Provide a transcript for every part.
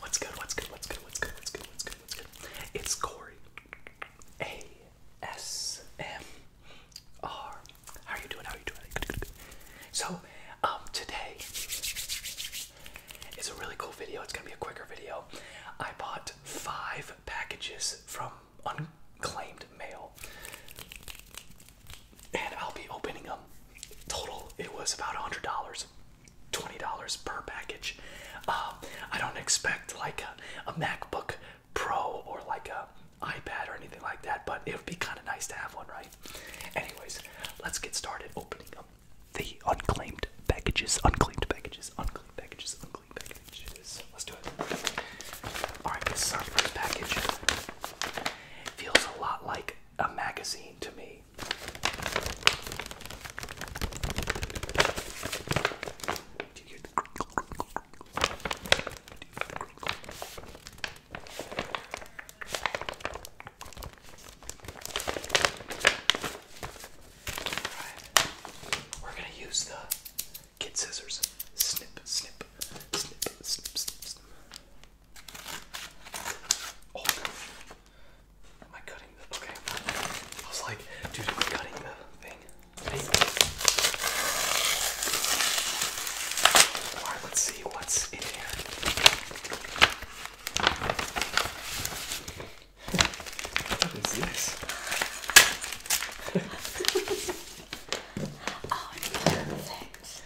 What's good? What's good? What's good? What's good? What's good? What's good? What's good? It's Corey. A S M R. How are you doing? How are you doing? So, um, today it's a really cool video. It's gonna be a quicker video. I bought five packages from unclaimed mail, and I'll be opening them. Total, it was about a hundred dollars. $20 per package. Uh, I don't expect like a, a MacBook Pro or like a iPad or anything like that, but it would be kind of nice to have one, right? Anyways, let's get started opening up the unclaimed packages, unclaimed packages, unclaimed packages, unclaimed packages. Let's do it. Alright, this is our first package. Feels a lot like a magazine to me. Mary. Do you hear the crinkle, crinkle, crinkle? Do you hear the crinkle? Alright. We're gonna use the kid scissors. Snip, snip, snip, snip, snip, snip. Oh, am I cutting the? Okay, I was like, dude, am I cutting the thing? Hey. All right, let's see what's in here. What is this? oh, it's perfect.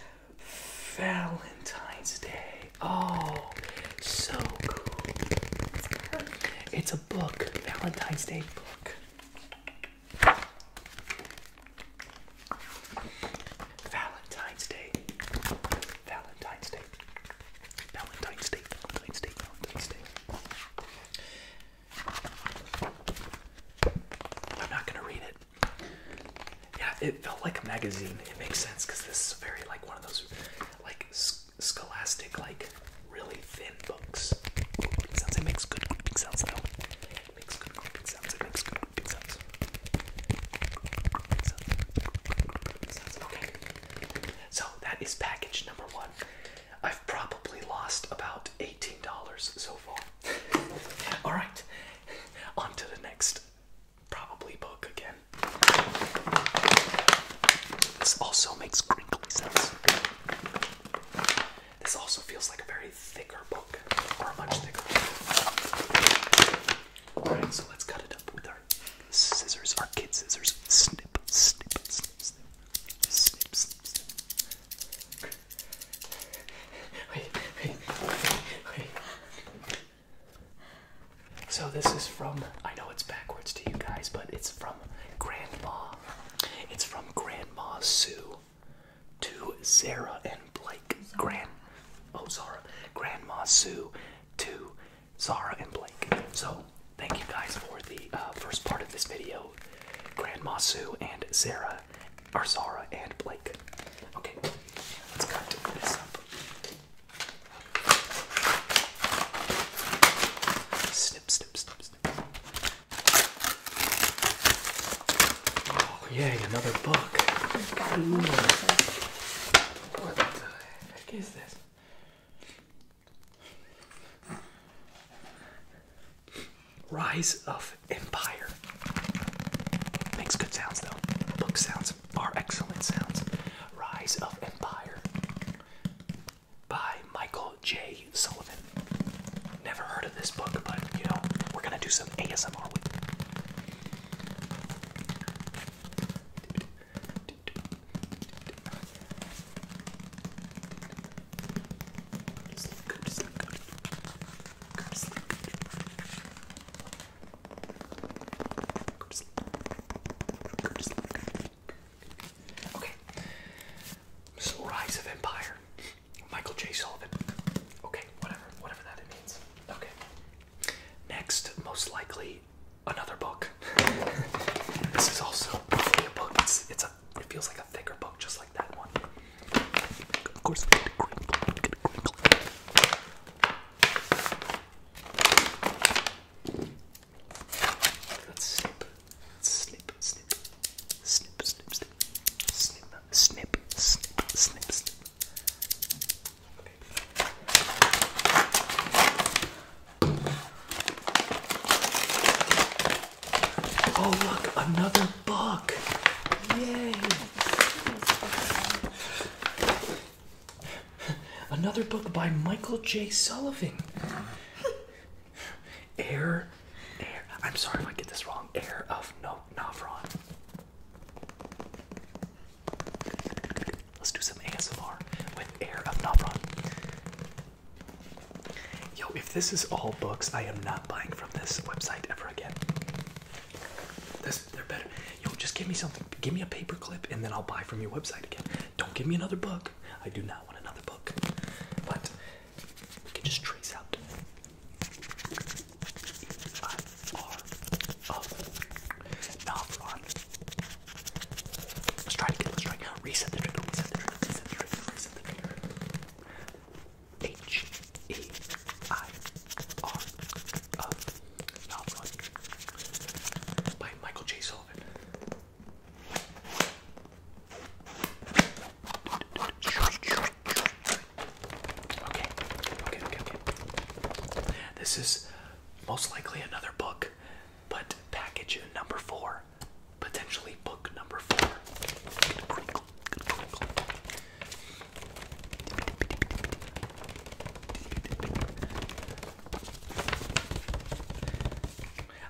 Valentine's Day. Oh, so cool. It's a book, Valentine's Day book. Valentine's Day. Valentine's Day. Valentine's Day. Valentine's Day. I'm not going to read it. Yeah, it felt like a magazine. It makes sense because this is very like one of those like scholastic, like really thin books. It makes good grouping sounds It makes good grouping sounds. It makes good grouping sounds. Okay. So that is package number one. I've probably lost about $18 so far. All right, on to the next probably book again. This also makes crinkly sounds. This also feels like a very thicker book, or a much thicker book. Alright, so let's cut it up with our scissors, our kid scissors. snip, snip, snip. Snip, snip, snip. So this is from I know it's backwards to you guys, but it's from Grandma. It's from Grandma Sue to Zara and Blake. Grand Oh Zara. Grandma Sue to Zara and Blake. So thank you guys for the uh, first part of this video. Grandma Sue and Zara Arsara, and Blake. Okay, let's cut this up. Snip, snip, snip, snip. Oh, yay, another book. What the heck is this? Rise of Empire. Makes good sounds though. Book sounds are excellent sounds. Rise of Empire by Michael J. Sullivan. Never heard of this book, but you know, we're gonna do some ASMR Okay. So Rise of Empire. Michael J. Sullivan. Okay, whatever, whatever that means. Okay. Next, most likely, another book. this is also probably a book. It's, a a it feels like a thicker book just like that one. Of course we get a crinkle, we get a crinkle. Let's snip, snip, snip, snip, snip, snip, snip, snip, snip, snip, snip. Okay. Oh, look, another book. Yay. Another book by Michael J. Sullivan. Air, air. I'm sorry if I get this wrong. Air of no Navron. Let's do some ASMR with Air of Navron. Yo, if this is all books, I am not buying from this website ever again. This, they're better. Yo, just give me something. Give me a paper clip, and then I'll buy from your website again. Don't give me another book. I do not want another book. But we can just trace out I R oh, Let's try again. Let's try. Reset the trigger. Reset the trigger. Reset the trigger looks by Michael J. Sullivan. Okay, okay, okay, okay. This is most likely another book, but package number four potentially book number four.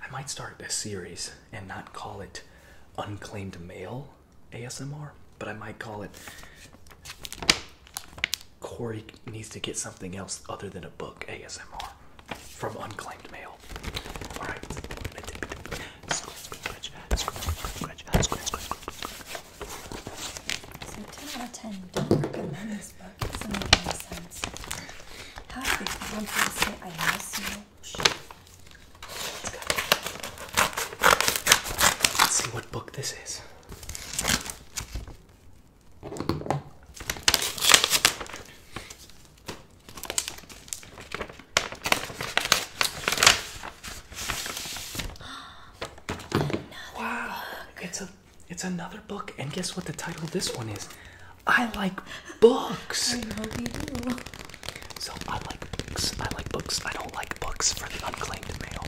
I might start this series and not call it unclaimed mail ASMR, but I might call it Corey needs to get something else other than a book ASMR from unclaimed mail. Let's see what book this is wow, it's a it's another book, and guess what the title of this one is? I like books. I know you do. So I like books. I like books. I don't like books for the unclaimed mail.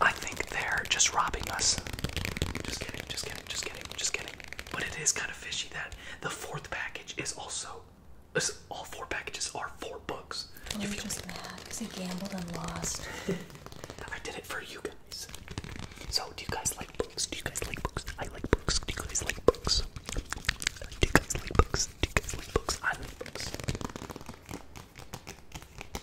I think they're just robbing us. Just kidding. Just kidding. Just kidding. Just kidding. But it is kind of fishy that the fourth package is also all four packages are four books. Well, oh, you just mad because he gambled and lost. I did it for you guys. So, do you guys like books? Do you guys like books? I like books? Do you guys like books? Do you guys like books? I like books.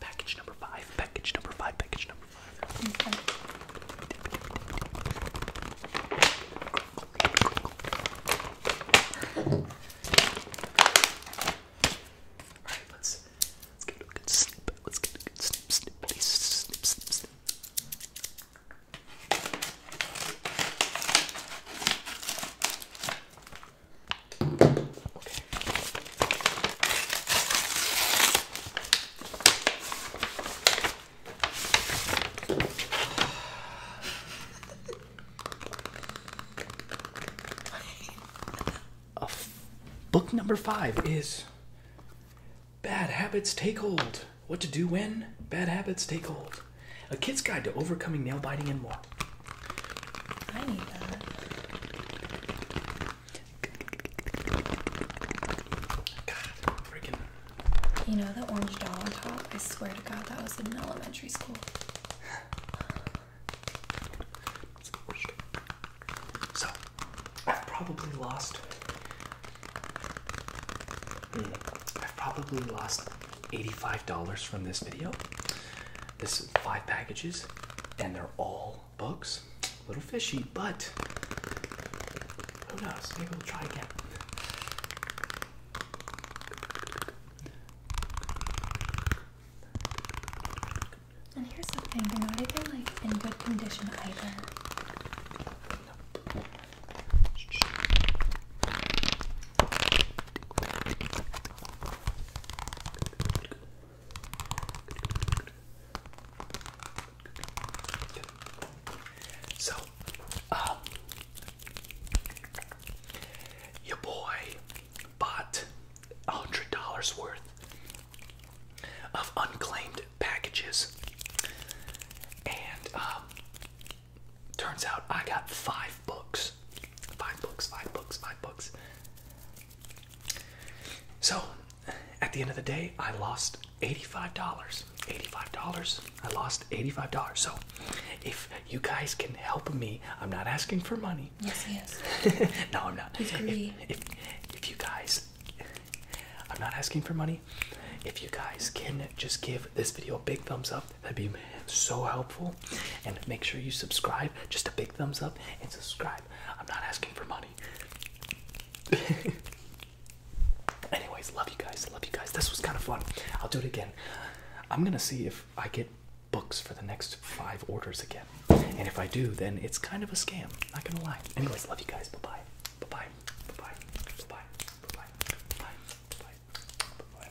package number five, package number five, package number five. Okay. Alright, let's let's get a good snip. Let's get a good snip, snip, please. snip, snip, snip. Okay. book number five is Bad Habits Take Hold. What to do when bad habits take hold. A kid's guide to overcoming nail biting and more. I need that. God, freaking. You know that orange doll on top? I swear to God, that was in elementary school. So, I've probably lost. Hmm, I've probably lost $85 from this video. This is five packages, and they're all books. A little fishy, but who knows? Maybe we'll try again. And here's the thing, they're not even like in good condition either. So, um, your boy bought hundred dollars worth of unclaimed packages, and um, turns out I got five books. Five books, five books, five books. So, at the end of the day, I lost $85. $85. I lost $85. So, if you guys can help me, I'm not asking for money. Yes, yes. no, I'm not. if you guys, I'm not asking for money. If you guys can just give this video a big thumbs up, That'd be so helpful. And make sure you subscribe. Just a big thumbs up and subscribe. I'm not asking for money. Anyways, love you guys. Love you guys. This was kind of fun. I'll do it again. I'm gonna see if I get books for the next five orders again. And if I do, then it's kind of a scam. Not gonna lie. Anyways, love you guys. Bye bye. Bye bye. Bye bye. Bye bye. Bye bye. Bye bye. Bye bye.